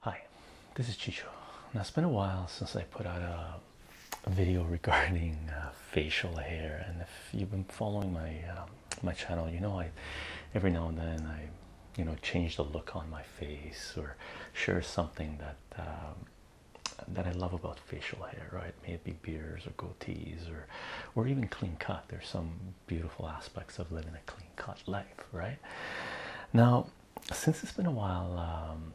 Hi, this is Chicho. Now it's been a while since I put out a video regarding uh, facial hair, and if you've been following my um, my channel, you know I every now and then I you know change the look on my face or share something that um, that I love about facial hair, right? May it be beards or goatees or or even clean cut. There's some beautiful aspects of living a clean cut life, right? Now, since it's been a while um,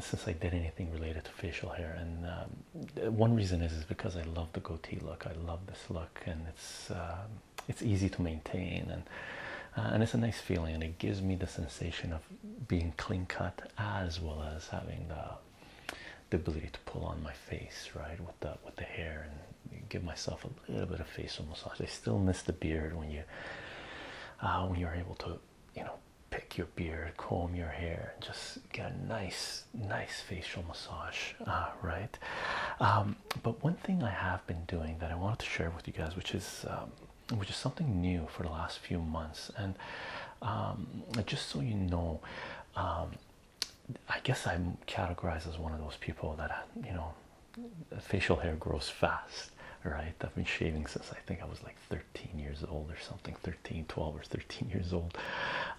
since I did anything related to facial hair, and um, one reason is is because I love the goatee look. I love this look, and it's um, it's easy to maintain, and uh, and it's a nice feeling, and it gives me the sensation of being clean cut as well as having the the ability to pull on my face, right, with the with the hair and give myself a little bit of facial massage. I still miss the beard when you uh, when you're able to, you know, pick your beard, comb your hair, and just get a nice, nice facial massage, uh, right? Um, but one thing I have been doing that I wanted to share with you guys, which is um, which is something new for the last few months, and um, just so you know um, i guess i'm categorized as one of those people that you know facial hair grows fast right i've been shaving since i think i was like 13 years old or something 13 12 or 13 years old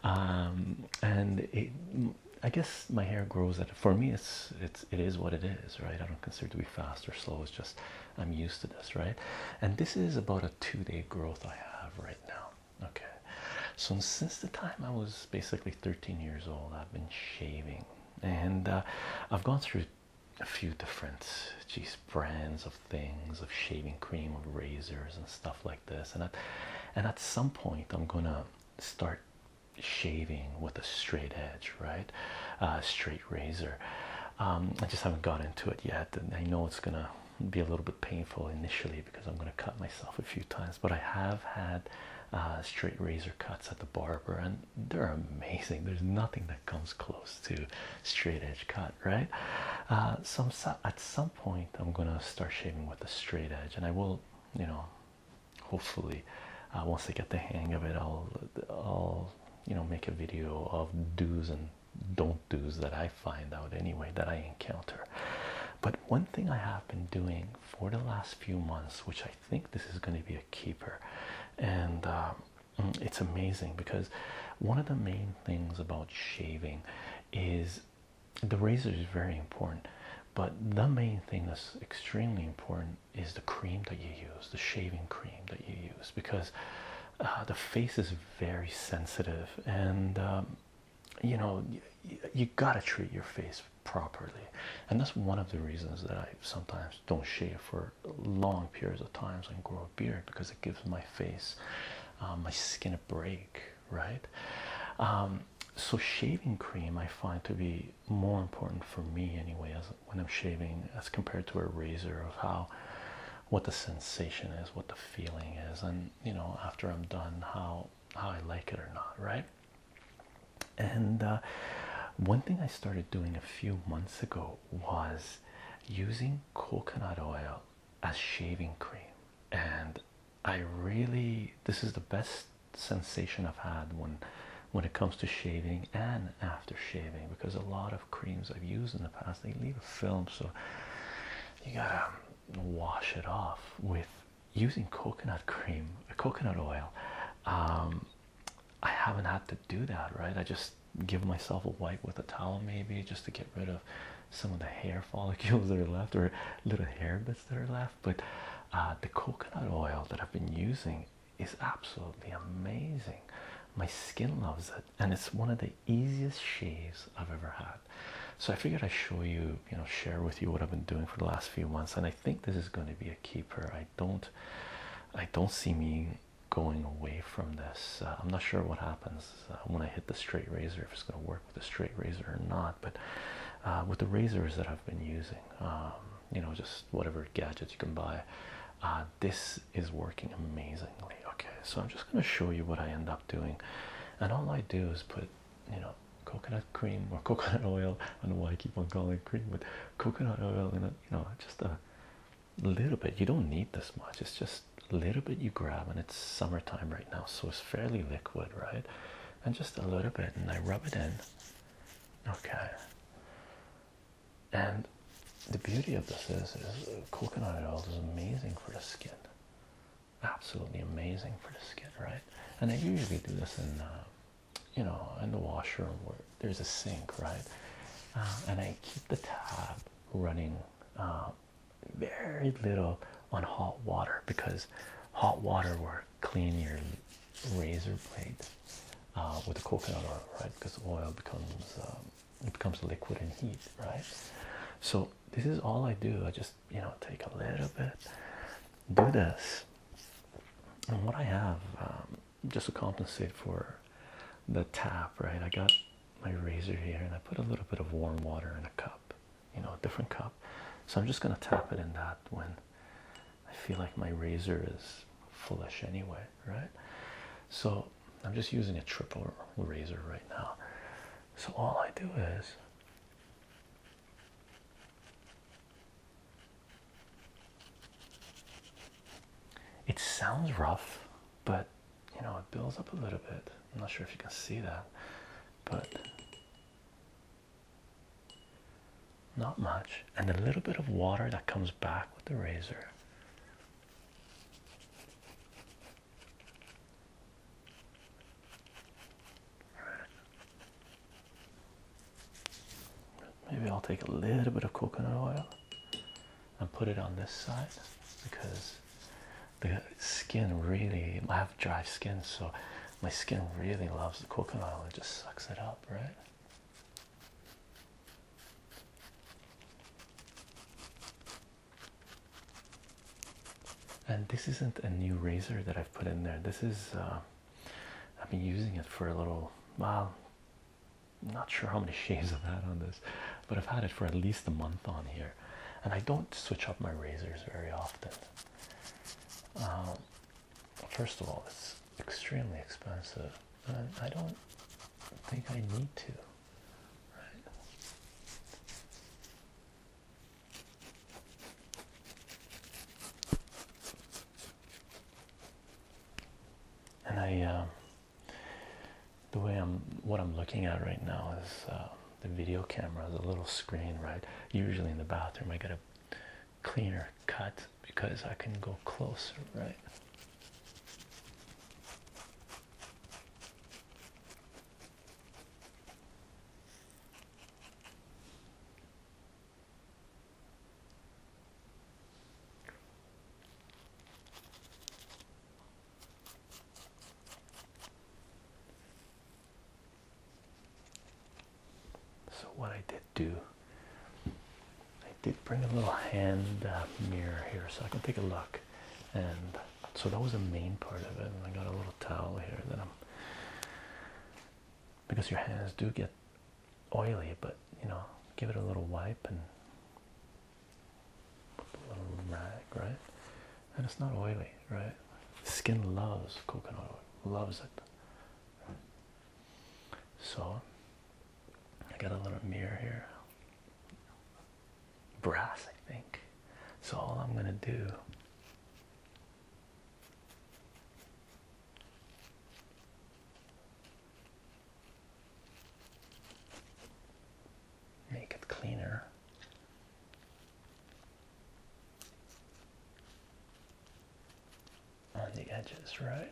um, and i guess my hair grows for me it's it's it is what it is right i don't consider it to be fast or slow it's just I'm used to this, right? And this is about a two day growth I have right now, okay? So, since the time I was basically 13 years old, I've been shaving and uh, I've gone through a few different geez, brands of things of shaving cream, of razors, and stuff like this. And at, and at some point, I'm gonna start shaving with a straight edge, right? Uh, straight razor. Um, I just haven't got into it yet, I know it's gonna be a little bit painful initially because I'm gonna cut myself a few times. But I have had uh, straight razor cuts at the barber, and they're amazing. There's nothing that comes close to straight edge cut, right? Uh, at some point I'm gonna start shaving with a straight edge, and I will, you know, hopefully. Uh, once I get the hang of it, I'll I'll you know make a video of do's and don't do's that I find out anyway that I encounter. But one thing I have been doing for the last few months, which I think this is going to be a keeper, and um, mm, it's amazing because one of the main things about shaving is the razor is very important, but the main thing that's extremely important is the cream that you use, the shaving cream that you use, because uh, the face is very sensitive, and um, you know you, gotta treat your face properly, and that's one of the reasons that I sometimes don't shave for long periods of times and grow a beard because it gives my face, uh, my skin a break, right? Um, so shaving cream I find to be more important for me anyway as when I'm shaving as compared to a razor of how what the sensation is what the feeling is and you know after I'm done how how I like it or not right and uh, one thing I started doing a few months ago was using coconut oil as shaving cream and I really this is the best sensation I've had when when it comes to shaving and after shaving because a lot of creams I've used in the past they leave a film so you gotta wash it off with using coconut cream coconut oil um, I haven't had to do that right I just give myself a wipe with a towel maybe just to get rid of some of the hair follicles that are left or little hair bits that are left but uh, the coconut oil that I've been using is absolutely amazing. My skin loves it, and it's one of the easiest shaves I've ever had. So I figured I'd show you, you know, share with you what I've been doing for the last few months, and I think this is going to be a keeper. I don't, I don't see me going away from this. Uh, I'm not sure what happens uh, when I hit the straight razor, if it's going to work with the straight razor or not. But uh, with the razors that I've been using, um, you know, just whatever gadgets you can buy. Uh, this is working amazingly. Okay, so I'm just going to show you what I end up doing, and all I do is put, you know, coconut cream or coconut oil. I don't know why I keep on calling it cream, but coconut oil in it, you know, just a little bit. You don't need this much. It's just a little bit you grab, and it's summertime right now, so it's fairly liquid, right? And just a little bit, and I rub it in, Okay. And the beauty of this is, is coconut oil is amazing for the skin. Absolutely amazing for the skin, right? And I usually do this in, uh, you know, in the washroom where there's a sink, right? Uh, and I keep the tab running uh, very little on hot water because hot water works clean your razor blade uh, with the coconut oil, right? Because oil becomes um, it becomes liquid in heat, right? So this is all I do. I just you know take a little bit, do this, and what I have um, just to compensate for the tap, right? I got my razor here, and I put a little bit of warm water in a cup, you know, a different cup. So I'm just going to tap it in that when I feel like my razor is foolish anyway, right? So I'm just using a triple razor right now. So all I do is It sounds rough, but you know, it builds up a little bit. I'm not sure if you can see that, but not much, and a little bit of water that comes back with the razor. Maybe I'll take a little bit of coconut oil and put it on this side because the skin really I have dry skin, so my skin really loves the coconut oil. It just sucks it up, right? And this isn't a new razor that I've put in there. This is uh, I've been using it for a little while. I'm not sure how many shaves I've had on this, but I've had it for at least a month on here. And I don't switch up my razors very often. Um, first of all, it's extremely expensive, and I don't think I need to. Right? And I, um, the way I'm, what I'm looking at right now is uh, the video camera, the little screen, right? Usually in the bathroom, I get a cleaner cut because I can go closer, right? So what I did do, I did bring a little hand uh, mirror here so I can take a look, and so that was the main part of it. And I got a little towel here that I'm because your hands do get oily, but you know, give it a little wipe and rag, right? And it's not oily, right? Skin loves coconut oil, loves it. So I got a little mirror here, brass, I think. So all I'm gonna do make it cleaner. On the edges, right?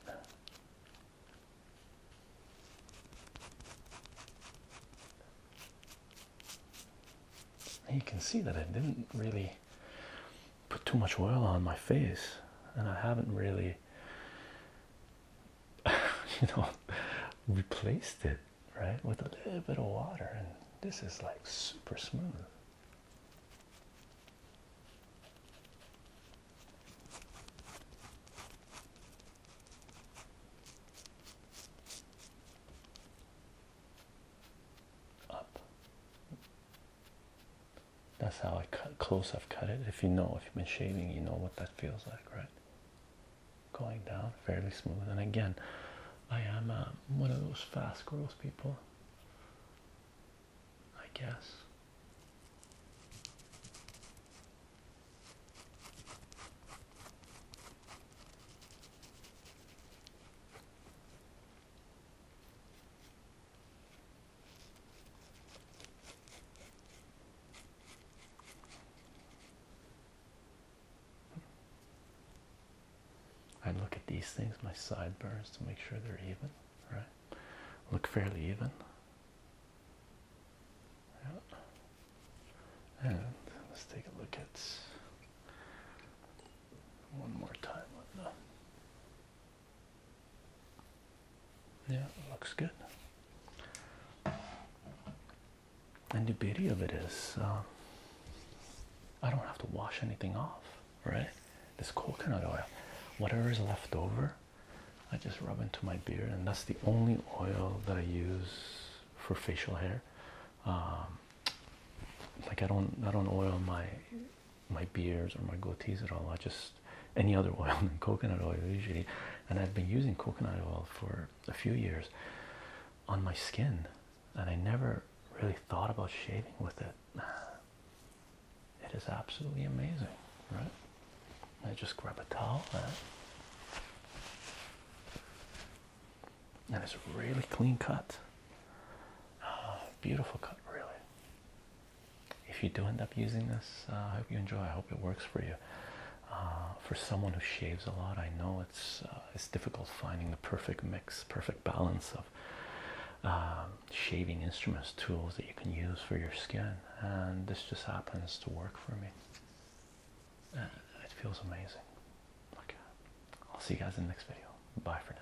You can see that I didn't really put too much oil on my face, and I haven't really you know, replaced it right with a little bit of water, and this is like super smooth. Up. That's how I cut close. I've cut it. If you know, if you've been shaving, you know what that feels like, right? going down fairly smooth and again I am uh, one of those fast growth people I guess I look at these things, my sideburns, to make sure they're even, right? Look fairly even. Yeah. And let's take a look at one more time. Yeah, looks good. And the beauty of it is, um, I don't have to wash anything off, right? This coconut oil, whatever is left over, I just rub into my beard, and that's the only oil that I use for facial hair. Um, like I don't, I don't oil my my beards or my goatees at all. I just any other oil than coconut oil usually and I've been using coconut oil for a few years on my skin and I never really thought about shaving with it it is absolutely amazing right I just grab a towel uh, and, it's a really clean cut ah, beautiful cut really if you do end up using this uh, i hope you enjoy i hope it works for you uh, for someone who shaves a lot i know it's uh, it's difficult finding the perfect mix perfect balance of um, shaving instruments tools that you can use for your skin and this just happens to work for me it feels amazing okay i'll see you guys in the next video bye for now